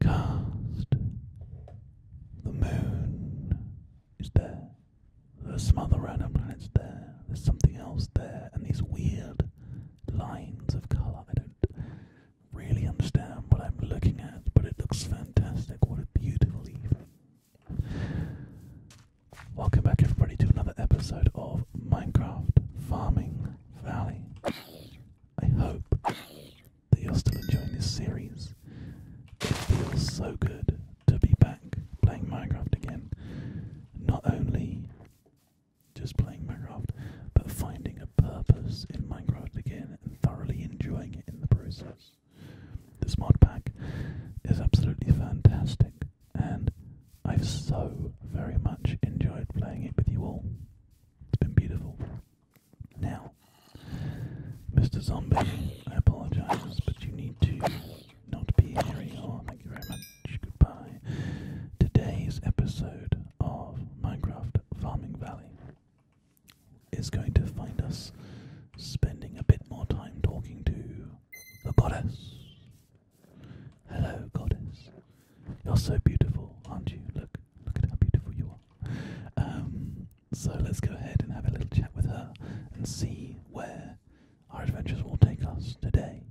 Cast. The moon is there. There's some other random planets there. There's something else there. And these weird lines of colour. I don't really understand what I'm looking at, but it looks fantastic. What a beautiful evening. Welcome back, everybody, to another episode of Minecraft Farming Valley. I hope that you're still enjoying this series. It feels so good to be back playing Minecraft again. Not only just playing Minecraft, but finding a purpose in Minecraft again and thoroughly enjoying it in the process. This mod pack is absolutely fantastic and I've so very much enjoyed playing it with you all. It's been beautiful. Now, Mr. Zombie, I apologise, but you need to not be here anymore. Thank you very much. Goodbye. Today's episode of Minecraft Farming Valley is going to find us spending a bit more time talking to the goddess Hello, goddess. You're so beautiful, aren't you? Look, look at how beautiful you are. Um, so let's go ahead and have a little chat with her and see where our adventures will take us today.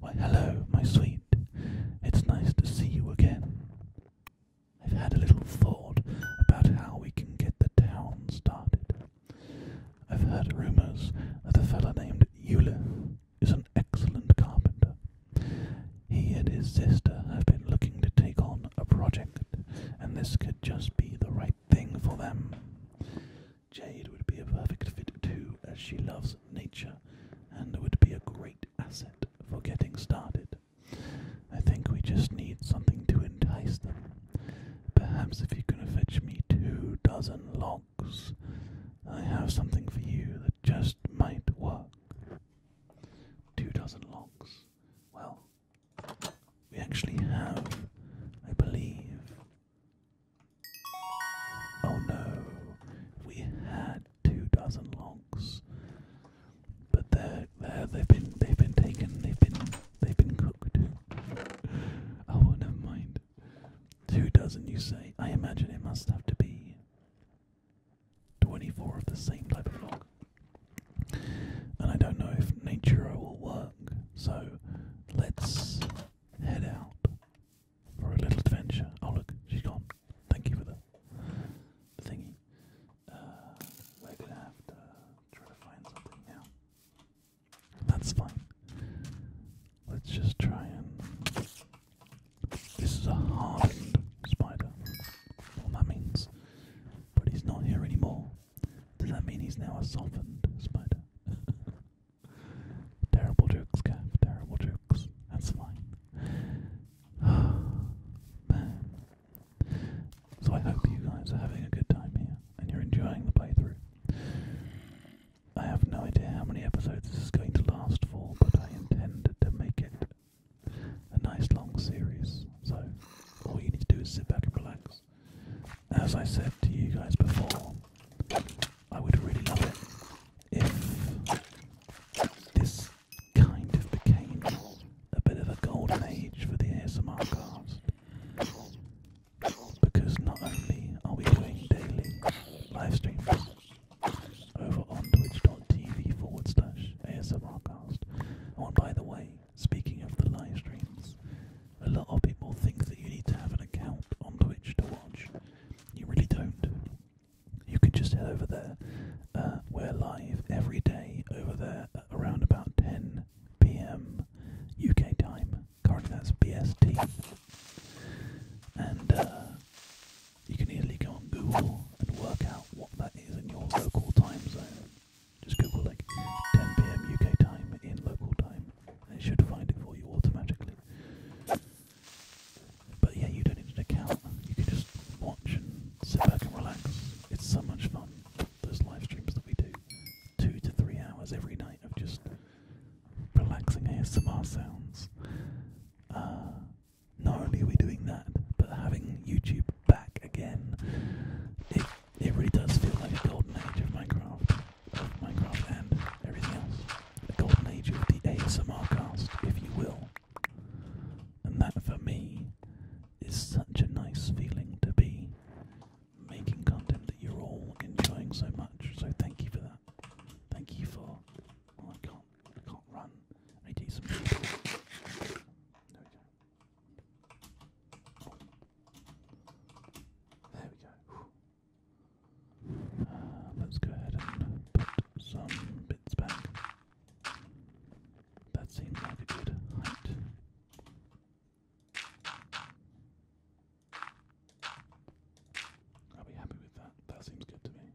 Why, hello, my sweet. It's nice to see you again. I've had a little thought about how we can get the town started. I've heard rumours that a fellow named Euler is an excellent carpenter. He and his sister have been looking to take on a project, and this could just be the right thing for them. Jade would be a perfect fit too, as she loves nature and would be a great asset for getting started. I think we just need something to entice them. Perhaps if you can fetch me two dozen logs. I have something for you that just might work. Two dozen locks. Well, we actually have, I believe. Oh no, we had two dozen locks, but they're, they they've been they've been taken they've been they've been cooked. oh, never mind. Two dozen, you say? I imagine it must have to be 24 of the same type of log. And I don't know if Naturo will work, so let's head out for a little adventure. Oh, look, she's gone. Thank you for the thingy. Uh, we're gonna have to try to find something now. That's fine. Let's just try and. This is a hardened spider. Well, that means. But he's not here anymore. Does that mean he's now a softened spider? terrible jokes, Gav. Terrible jokes. That's fine. So I hope you guys are having a good time here and you're enjoying the playthrough. I have no idea how many episodes this is going to last for, but I intend to make it a nice long series. So, all you need to do is sit back and relax. As I said to you guys before, I would really love it if this kind of became a bit of a golden age for the ASMR cast because not only are we doing daily live streams over on twitch.tv forward slash ASMRcast. Oh, and by the way, speaking of the live streams, a lot of people think that you need to have an account on Twitch to watch. You really don't. You can just head over there. Uh, we're live every day over there around about 10 p.m. UK time currently that's BST. And uh, you can easily go on Google and work out what that is in your local time zone. Just Google like 10 pm UK time in local time, and it should find it for you automatically. But yeah, you don't need an account. You can just watch and sit back and relax. It's so much fun those live streams that we do, two to three hours every night of just relaxing ASMR sounds. Uh, not only are we doing that, but having YouTube back again, it it really does feel like a golden age of Minecraft, Minecraft and everything else. A golden age of the ASMR cast, if you will. And that for me is such a nice feeling to be making content that you're all enjoying so much. So thank you for that. Thank you for. I can't. I can't run. I need to some. There we go. There we go. Uh, let's go ahead and put some bits back. That seems like a good height. I'll be happy with that. That seems good to me.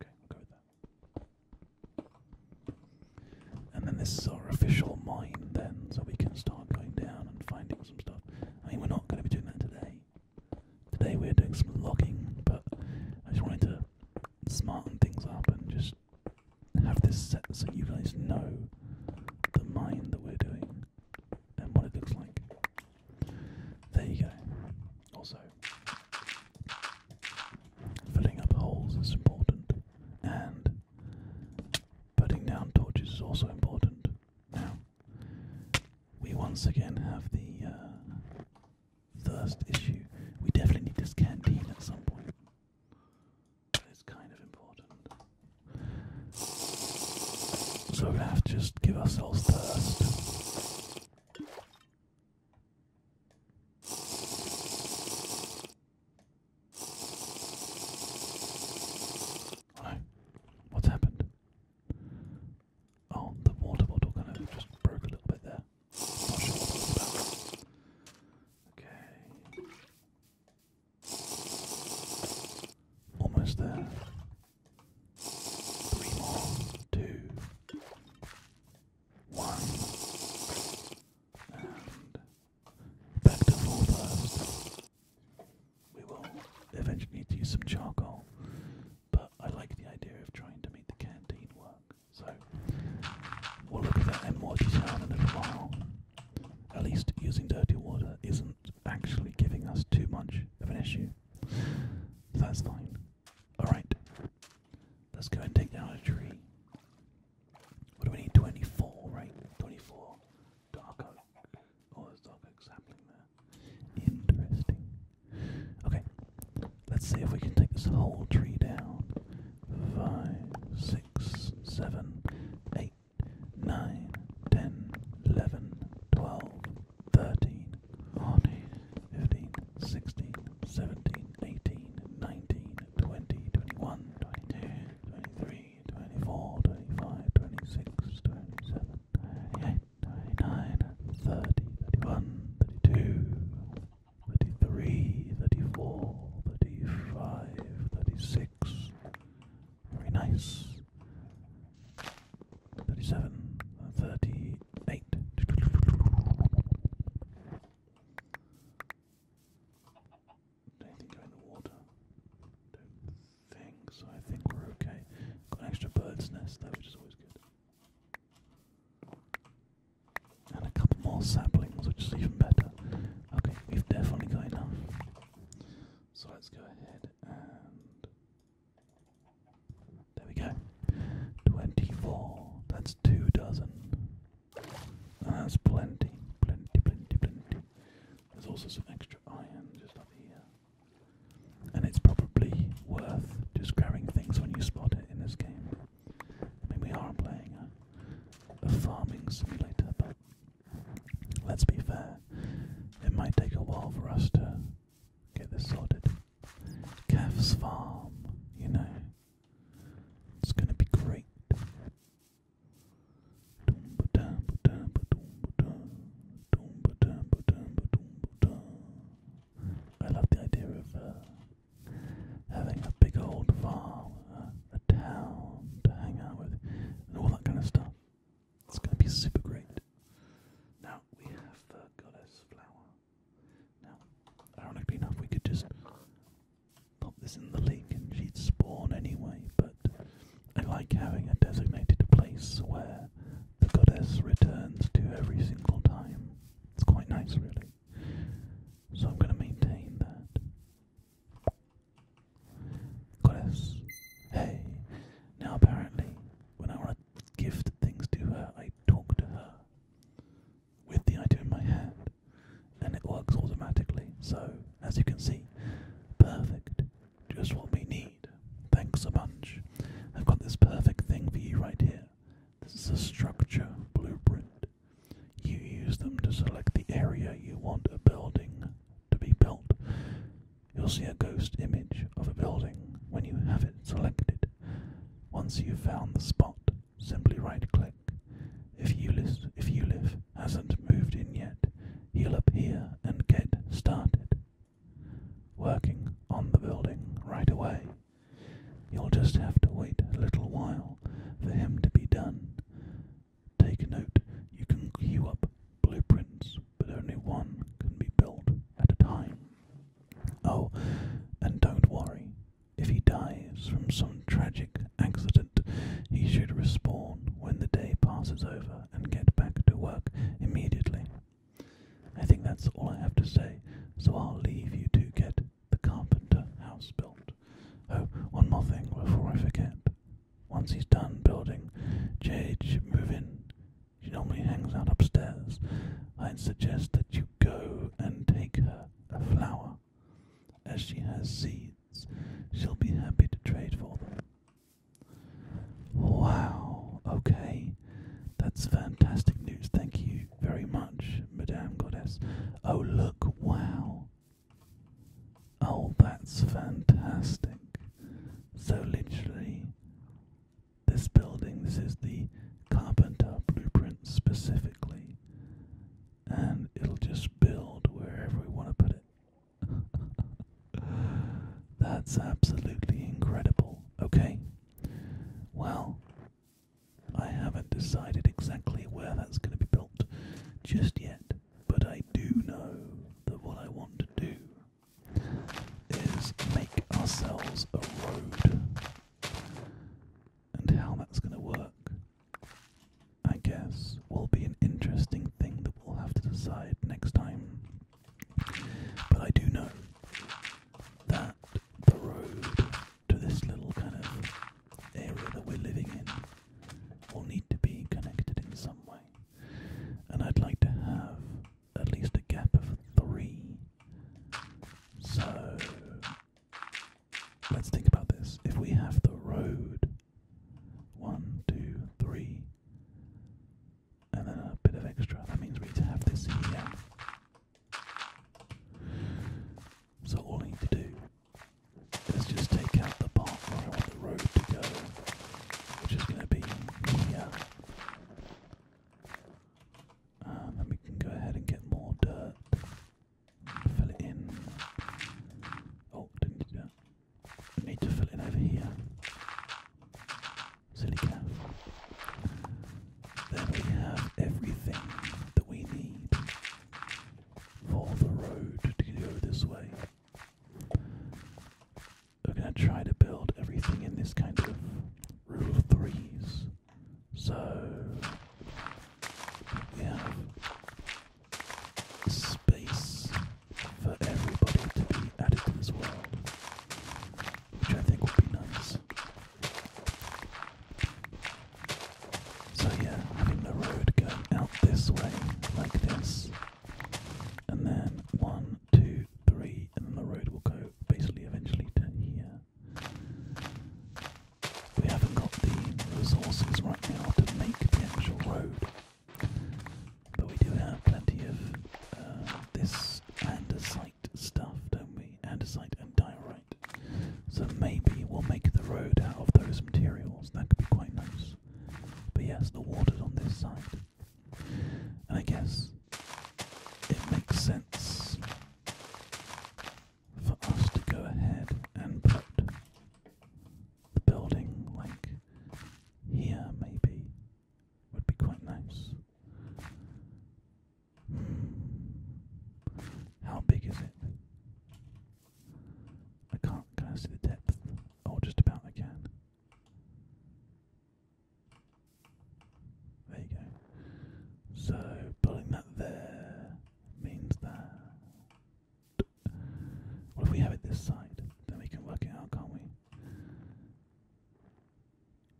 Okay, I'll go with that. And then this is our official mine then, so we can start going down and finding some stuff. I mean, we're not going to be doing that today. Today we're doing some logging, but I just wanted to smarten things up and just have this set so you guys know the mine that we're doing and what it looks like. There you go. Also, filling up holes is important, and putting down torches is also important. Now, we once again have the uh, thirst issue. We definitely need this canteen at some point. It's kind of important. So we're gonna have to just give ourselves thirst. What's happened? Oh, the water bottle kind of just broke a little bit there. Okay. Almost there. Three And back to full burst. We will eventually need to use some charcoal, but I like the idea of trying to make the canteen work. So we'll look at that in more detail in a little at least using dirty water isn't actually giving us too much of an issue. that's fine. Alright, let's go and take down a tree. What do we need? 24, right? 24 dark Oh, there's dark oak sapling there. Interesting. Okay, let's see if we can take this whole tree down. Five, six, seven, eight. 9, 10, 11, 12, 13, 14, 15, 16, 17, 18, 19, 20, 21, 22, 23, 24, 25, 26, 27, 28, 29, 30, 31, 32, 33, 34, 35, 36, very nice. 37. 38. go in the water. Don't think so. I think we're okay. Got extra bird's nest though, always good. And a couple more saplings, which is even better. Okay, we've definitely got enough. So let's go ahead and. There we go. 24. That's two dozen. That's plenty. Plenty, plenty, plenty. There's also some extra iron just up here. And it's probably worth just grabbing things when you spot it in this game. I mean, we are playing a farming simulator, but let's be fair, it might take a while for us to get this sorted. Calf's farm, you know, it's gonna be great. I love the idea of uh, having a big old farm, a, uh, a town to hang out with, and all that kind of stuff. It's going to be super great. Now we have the goddess flower. Now, ironically enough, we could just pop this in the lake and she'd spawn anyway, but I like having a designated place where the goddess returns to every single time. It's quite nice, really. So I'm going to maintain that. Goddess. Hey. Now apparently, when I want to gift things to her, I talk to her with the item in my hand, and it works automatically. So, as you can see, perfect. Just what we need. Thanks a bunch. I've got this perfect thing for you right here. This is a structure blueprint. You use them to select the area you want a building to be built. You'll see a ghost image of a building when you have it selected. Once you've found the spot, simply right-click. If you if you live hasn't moved in yet, you will appear and get started working on the building right away. You'll just have to wait a little while for him to be done. Take note, you can queue up blueprints, but only one can be built at a time. Oh, and don't worry, if he dies from some tragic accident, he should respawn when the day passes over and get back to work immediately. I think that's all I have to say, so I'll leave you to get the carpenter house built. Oh, one more thing before I forget. Once he's done building, Jade should move in. She normally hangs out upstairs. I'd suggest that you go and take her a flower. As she has seeds, she'll be happy to trade for them. Wow, okay. That's fantastic news, thank you very much, Madame Goddess. Oh, look, wow. Oh, that's fantastic. So, literally, this building, this is the Carpenter blueprint specifically, and it'll just build wherever we want to put it. that's absolutely incredible. Okay. Well, I haven't decided exactly where that's going to be built just yet, but I do know that what I want to do is make ourselves a road. And how that's going to work, I guess, will be an interesting thing that we'll have to decide next time. But I do know that the road to this little kind of area that we're living in will need to be connected in some way. And I'd like to have at least a gap of three. So let's think about this. If we have the road, one, two, three, and then a bit of extra, that means we need to have this here so all I need to do is just take out the part where I want the road to go, which is going to be here. Um, and we can go ahead and get more dirt, fill it in. Oh, didn't do need to fill it in over here. Silly calf. Then we have everything that we need for the road to go this way. We're going to try to build everything in this kind of rule of threes. So we have space for everybody to be added to this world, which I think will be nice. So, yeah, having the road going out this way, like this, and then one, two, three, and the road will go basically eventually to here. We haven't got the resources right now to make the actual road, but we do have plenty of uh, this andesite stuff, don't we? Andesite and diorite. So maybe we'll make the road out of those materials. That could be quite nice. But yes, the water's on this side. And I guess it makes sense for us to go ahead and put the building like here, maybe. Would be quite nice. How big is it? I can't can I the depth? Oh just about I There you go. So putting that there means that well if we have it this side, then we can work it out, can't we?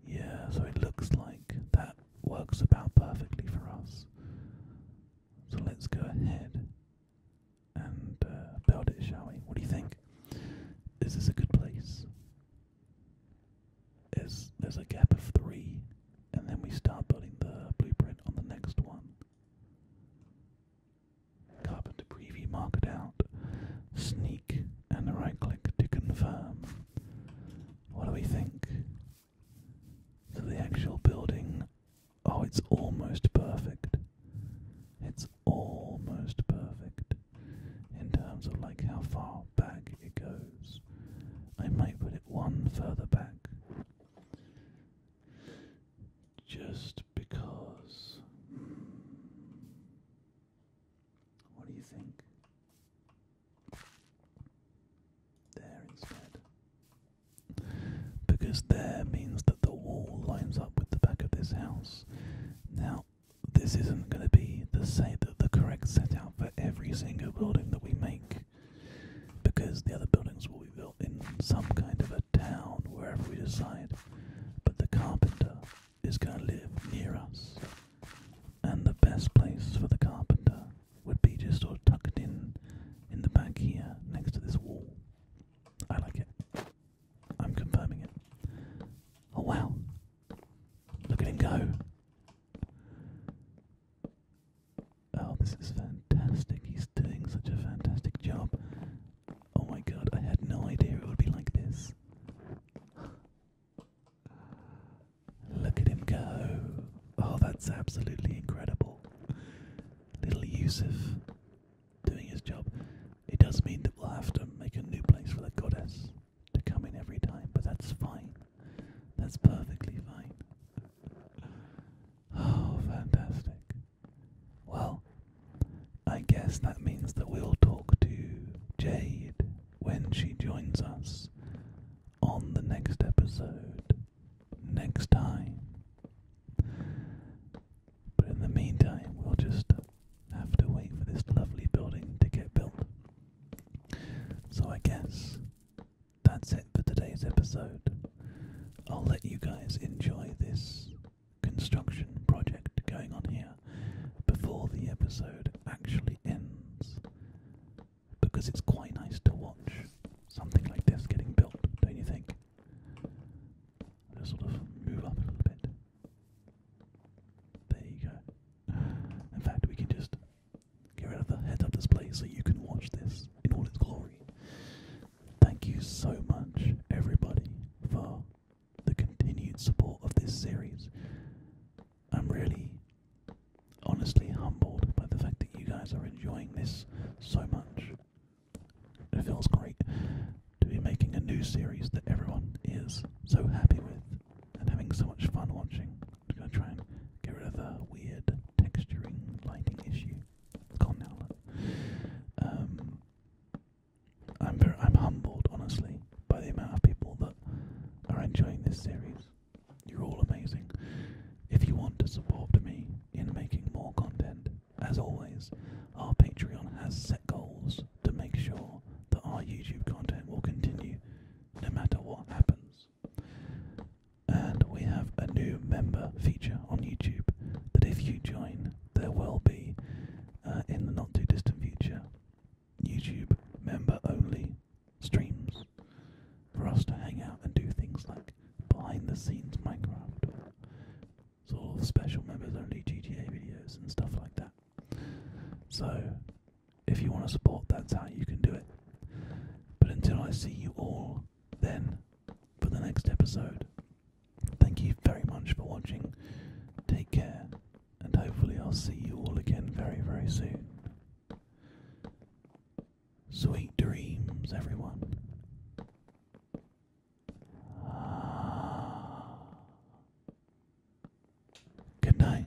Yeah, so it looks like that works about perfectly for us. So let's go ahead and uh, build it, shall we? What do you think? This Is a good place? Is there's a gap of three, and then we start building the blueprint on the next one. Carbon preview, mark it out, sneak, and right click to confirm. What do we think? So the actual building, oh, it's almost perfect. It's almost perfect in terms of like how far back it goes. I might put it one further back. Just because. What do you think? There instead. Because there means that the wall lines up with the back of this house. Now, this isn't going to be the say that the correct set out for every single building that we make, because the other buildings will be built in some kind of a town wherever we decide. But the carpenter is going to live near us, and the best place for the carpenter would be just sort of tucked in in the back here next to this wall. I like it. I'm confirming it. Oh wow! Look at him go! Oh, this is fantastic. He's doing such a fantastic job. Oh my god, I had no idea it would be like this. Look at him go. Oh, that's absolutely incredible. Little Yusuf doing his job. It does mean that we'll have to make a new place for the goddess to come in every time, but that's fine. That's perfectly fine. Oh, fantastic. Well, I guess that means that we'll talk to Jade when she joins us on the next episode next time. But in the meantime, we'll just have to wait for this lovely building to get built. So I guess that's it for today's episode. I'll let you guys enjoy this construction project going on here before the episode actually ends. Because it's quite nice to watch something like this getting built, don't you think? Just sort of move up a little bit. There you go. In fact, we can just get rid of the head up display so you can watch this in all its glory. Thank you so much, everybody, for the continued support of this series. I'm really honestly humbled by the fact that you guys are enjoying this so much. It feels great to be making a new series that everyone is so happy with and having so much fun watching. going to try and get rid of the weird texturing lighting issue. gone now. Um, I'm, very, I'm humbled, honestly, by the amount of people that are enjoying this series. You're all amazing. If you want to support me in making more content, as always, our Patreon has set goals to make sure that our YouTube content will continue no matter what happens. And we have a new member feature on YouTube that if you join, there will be uh, in the not too distant future YouTube member only streams for us to hang out and do things like behind the scenes Minecraft or sort of special members only GTA videos and stuff like that. So, if you want to support, that's how you can do it. But until I see you all then for the next episode, thank you very much for watching. Take care and hopefully I'll see you all again very, very soon. Sweet dreams, everyone. Ah. Good night.